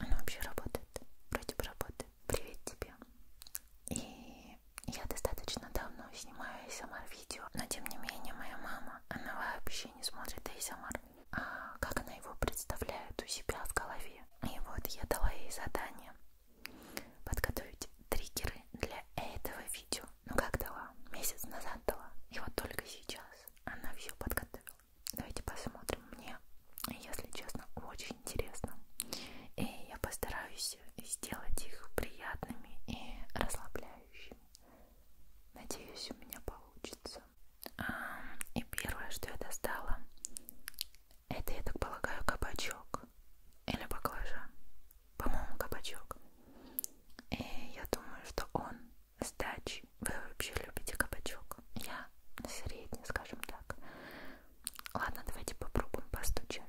Оно вообще работает, вроде бы работает. Привет тебе. И я достаточно давно снимаю ASMR видео, но тем не менее моя мама, она вообще не смотрит ASMR. А, как она его представляет у себя в голове. И вот я дала ей задание подготовить триггеры для этого видео. Ну как дала? Месяц назад дала. И вот только сейчас она все подготовила. Давайте посмотрим. Мне, если честно, очень интересно. И я постараюсь сделать их приятными и расслабляющими. Надеюсь, у меня получится. И первое, что я достала, это, я так полагаю, кабачок или баклажан. По-моему, кабачок. И я думаю, что он с дачи. Вы вообще любите кабачок? Я средний, скажем так. Ладно, давайте попробуем постучать.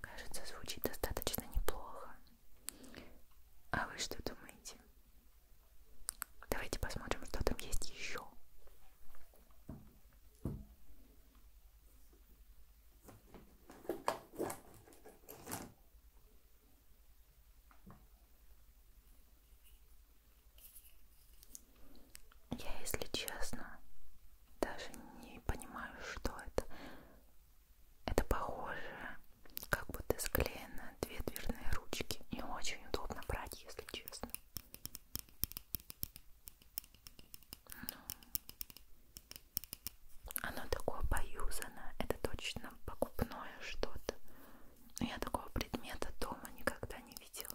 Кажется, звучит достаточно неплохо. А вы что думаете? Давайте посмотрим, что там есть еще. Я, если честно, даже не понимаю, что это. Это похоже, как будто склеены две дверные ручки. И очень удобно брать, если честно. Ну, оно такое поюзанное, это точно покупное что-то. Но я такого предмета дома никогда не видела.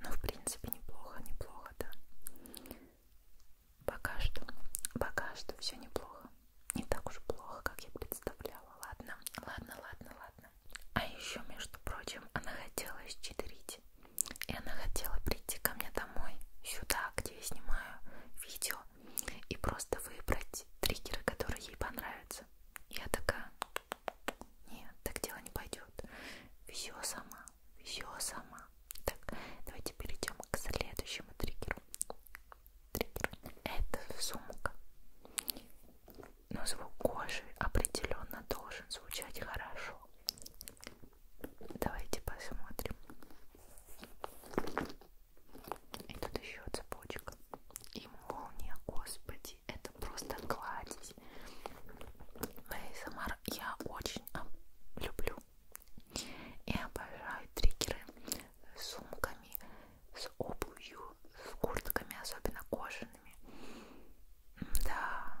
Ну, в принципе, неплохо, неплохо, да. Пока что, пока что все неплохо. Не так уж плохо, как я представляла. Ладно, ладно, ладно, ладно. А еще, между прочим, она хотела исчитерить. И она хотела прийти ко мне домой, сюда, где я снимаю видео, канала и просто выбрать триггеры, которые ей понравятся. Я такая, нет, так дело не пойдет. Все сама, все сама. Так, давайте перейдем к следующему триггеру. Триггер. Это сумка. Но звук кожи определенно должен звучать хорошо. Давайте посмотрим. И тут еще цепочка. И молния, господи, это просто кладезь. Мейсамар я очень люблю и обожаю триггеры с сумками, с обувью, с куртками, особенно кожаными. Да.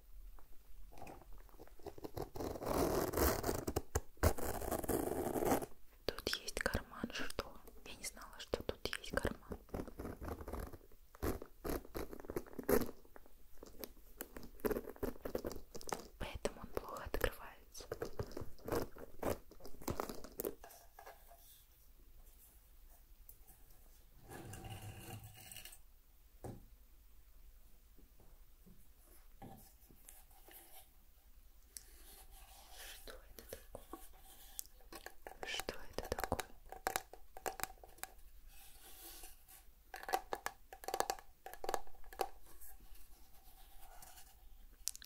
Тут есть карман, что? Я не знала, что тут есть карман. Поэтому он плохо открывается. Что это такое? Что это такое?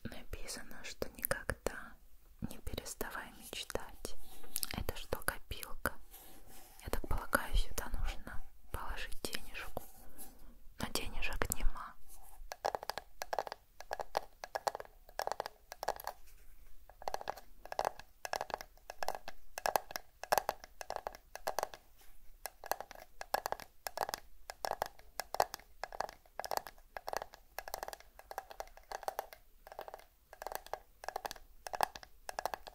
Написано, что никогда не переставай мечтать. Это что, копилка? Я так полагаю, сюда нужно положить денежку. Но денежек нема.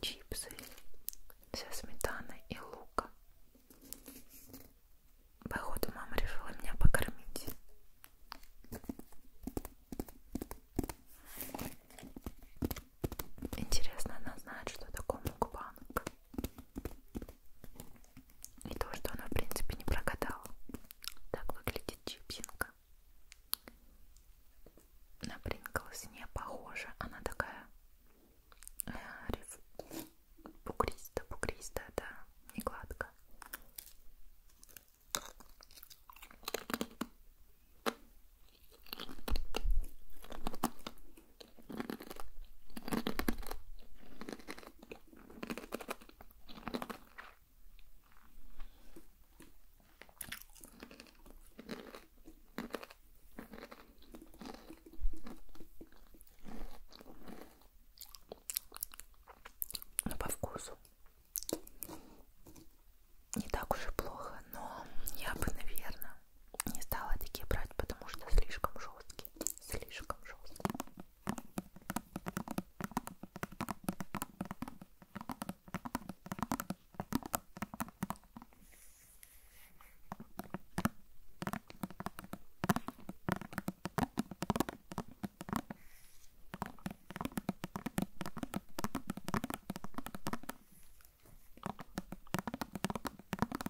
чипсы со сметаной и луком. Походу мама решила меня покормить. Интересно, она знает, что такое мукбанг. И то, что она, в принципе, не прогадала. Так выглядит чипсинка. На Принглс не похожа. Она такая э, риф... бугристая, бугристая, да, не гладкая. Но ну, по вкусу не так уж и плохо, но я бы, наверное, не стала такие брать, потому что слишком жесткие, слишком жесткие.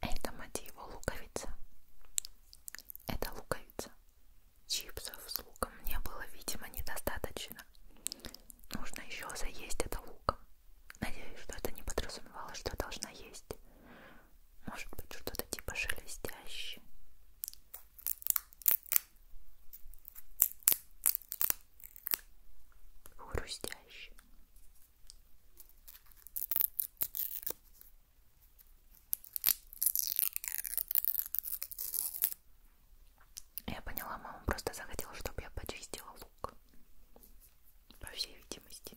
Это мотива луковица. Это луковица. Чипсов с луком мне было, видимо, недостаточно нужно еще заесть это луком. Надеюсь, что это не подразумевало, что я должна есть. Может быть, что-то типа шелестящее. Хрустящее. Я поняла, мама просто захотела, чтобы я почистила лук. По всей видимости.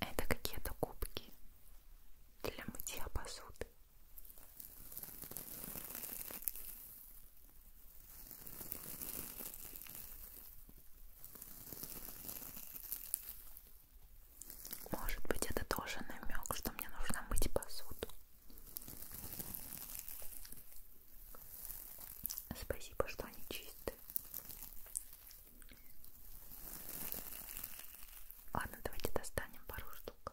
Это какие-то кубки для мытья посуды. Может быть, это тоже намек, что мне нужно мыть посуду. Спасибо, что они чистые. Ладно, давайте достанем пару штук.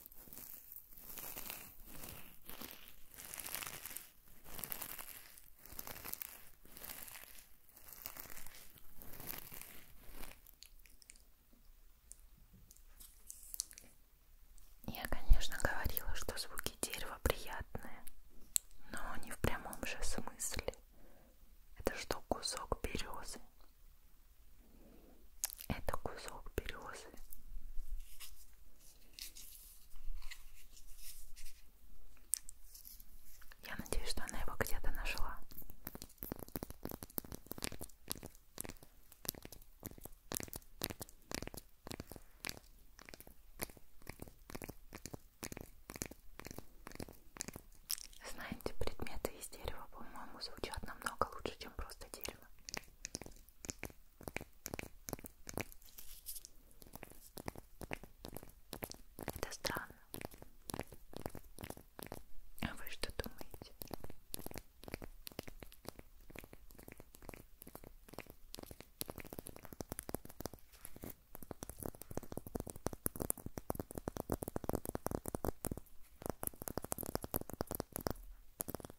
Я, конечно, говорила, что звуки дерева приятные, но не в прямом же смысле. Это что кусок березы, это кусок березы. Я надеюсь, что она его где-то нашла. Знаете, предметы из дерева, по-моему, звучат намного лучше, чем просто дерево. Это странно. А вы что думаете?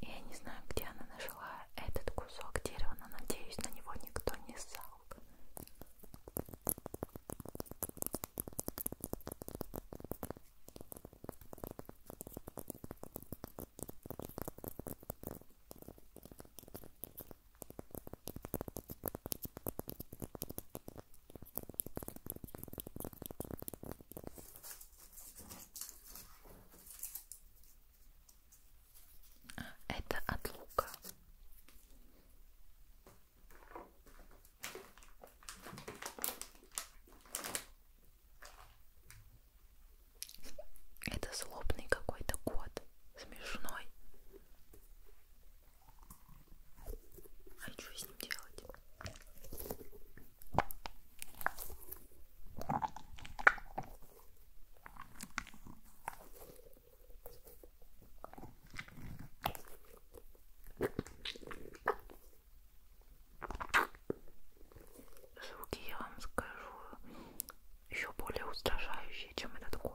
Я не знаю, где она нашла этот кусок дерева, но надеюсь, на него никто не ссал. Это от лука. Это злобный какой-то кот. Смешной. А что с ним делать? Звуки я вам скажу еще более устрашающие, чем этот год.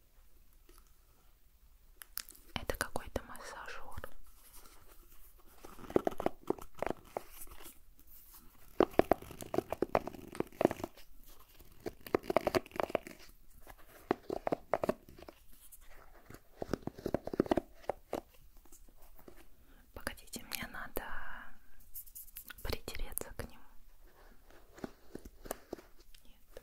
Это какой-то массажер. Погодите, мне надо притереться к нему. Нет.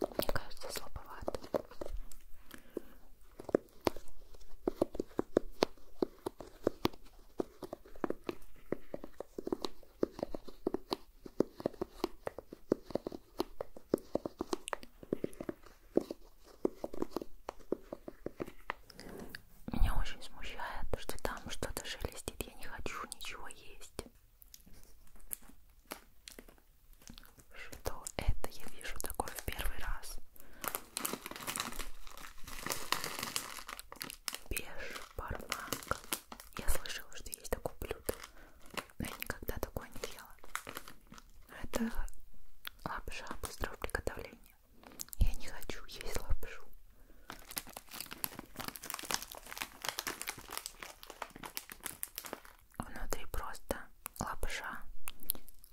Мне кажется, слабовато. Меня очень смущает, что там что-то шелестит. Я не хочу ничего есть. Что это я вижу такое в первый раз? Бешбармак. Я слышала, что есть такое блюдо, но я никогда такое не ела. Это лапша быстрого приготовления. Я не хочу есть лапшу внутри просто лапша,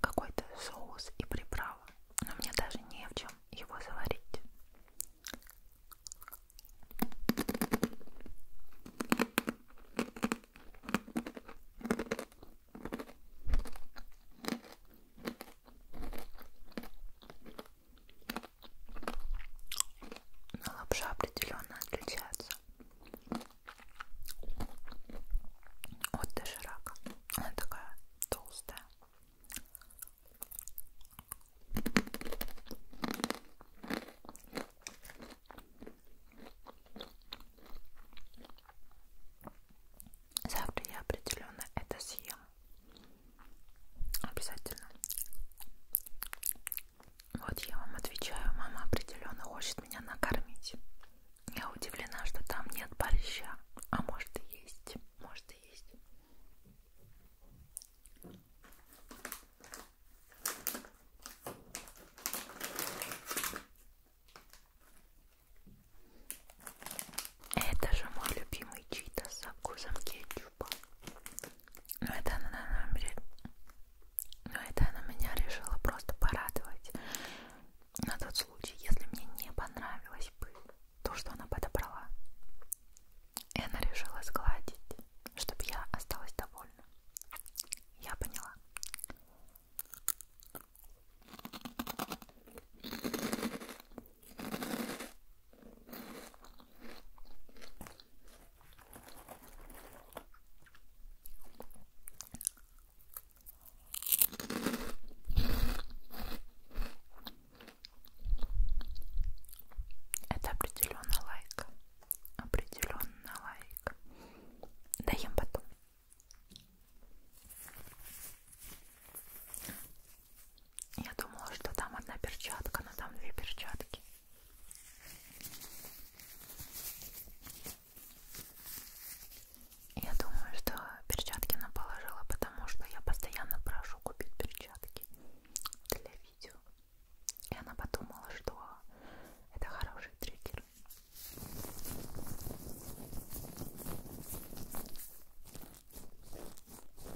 какой-то соус и приправа. Но мне даже не в чем его заварить. Но лапша определенно отличается от доширака. Она такая толстая. Завтра я определенно это съем. Обязательно. Вот я вам отвечаю, мама определенно хочет меня накормить. Я удивлена, что там нет борща. А может и есть. Может и есть. Это же мой любимый чита с вкусом кетчупа щупа. Типа. Но это она, наверное, умрет. Но это она меня решила просто порадовать. На тот случай, если мне не понравилось бы то, что она подобрала. И она решила сгладить, чтобы я осталась довольна. Я поняла. Это определенно лайк. Определенно лайк. Даем потом. Я думала, что там одна перчатка, но там две перчатки. Я думаю, что перчатки она положила, потому что я постоянно прошу купить перчатки для видео. И она подумала, что это хороший триггер.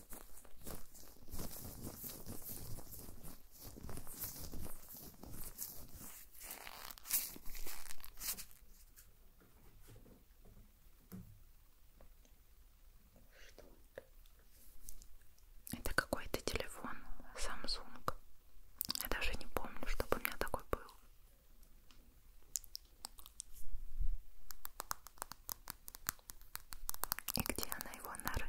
Что это? Это какой-то телефон Samsung. Я даже не помню, чтобы у меня такой был. И где она его нарыла?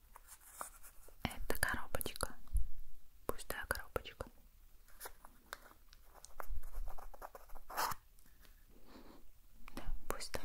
Это коробочка. Пустая коробочка. Да, пустая.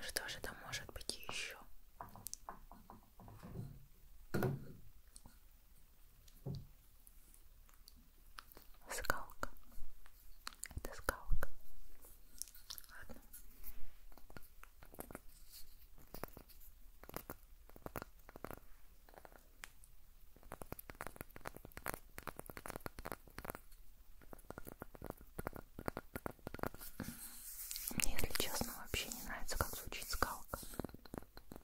Что же там может быть еще? Скалка. Это скалка. Ладно. Мне, если честно, вообще не нравится, как звучит скалка.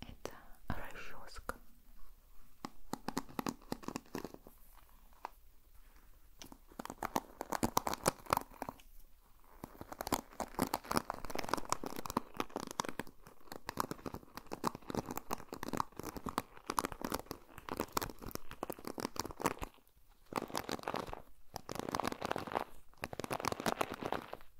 Это расческа.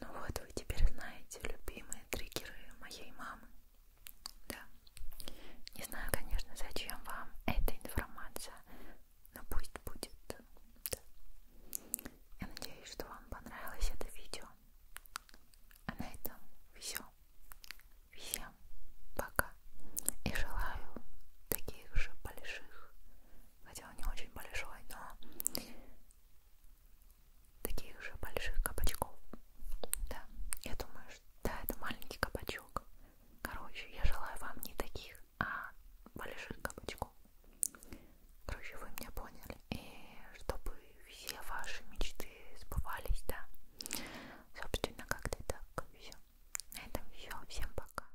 Ну вот вы теперь знаете любимые триггеры моей мамы. Да. Не знаю, конечно, зачем вам эта информация, но пусть будет. Да. Я надеюсь, что вам понравилось это видео. А на этом все. Всем пока. И желаю таких же больших хотя он не очень большой, но таких же больших кабачков. Да, я думаю, что да, это маленький кабачок. Короче, я желаю вам не таких, а больших кабачков. Короче, вы меня поняли. И чтобы все ваши мечты сбывались, да. Собственно, как-то так. Все. На этом все. Всем пока.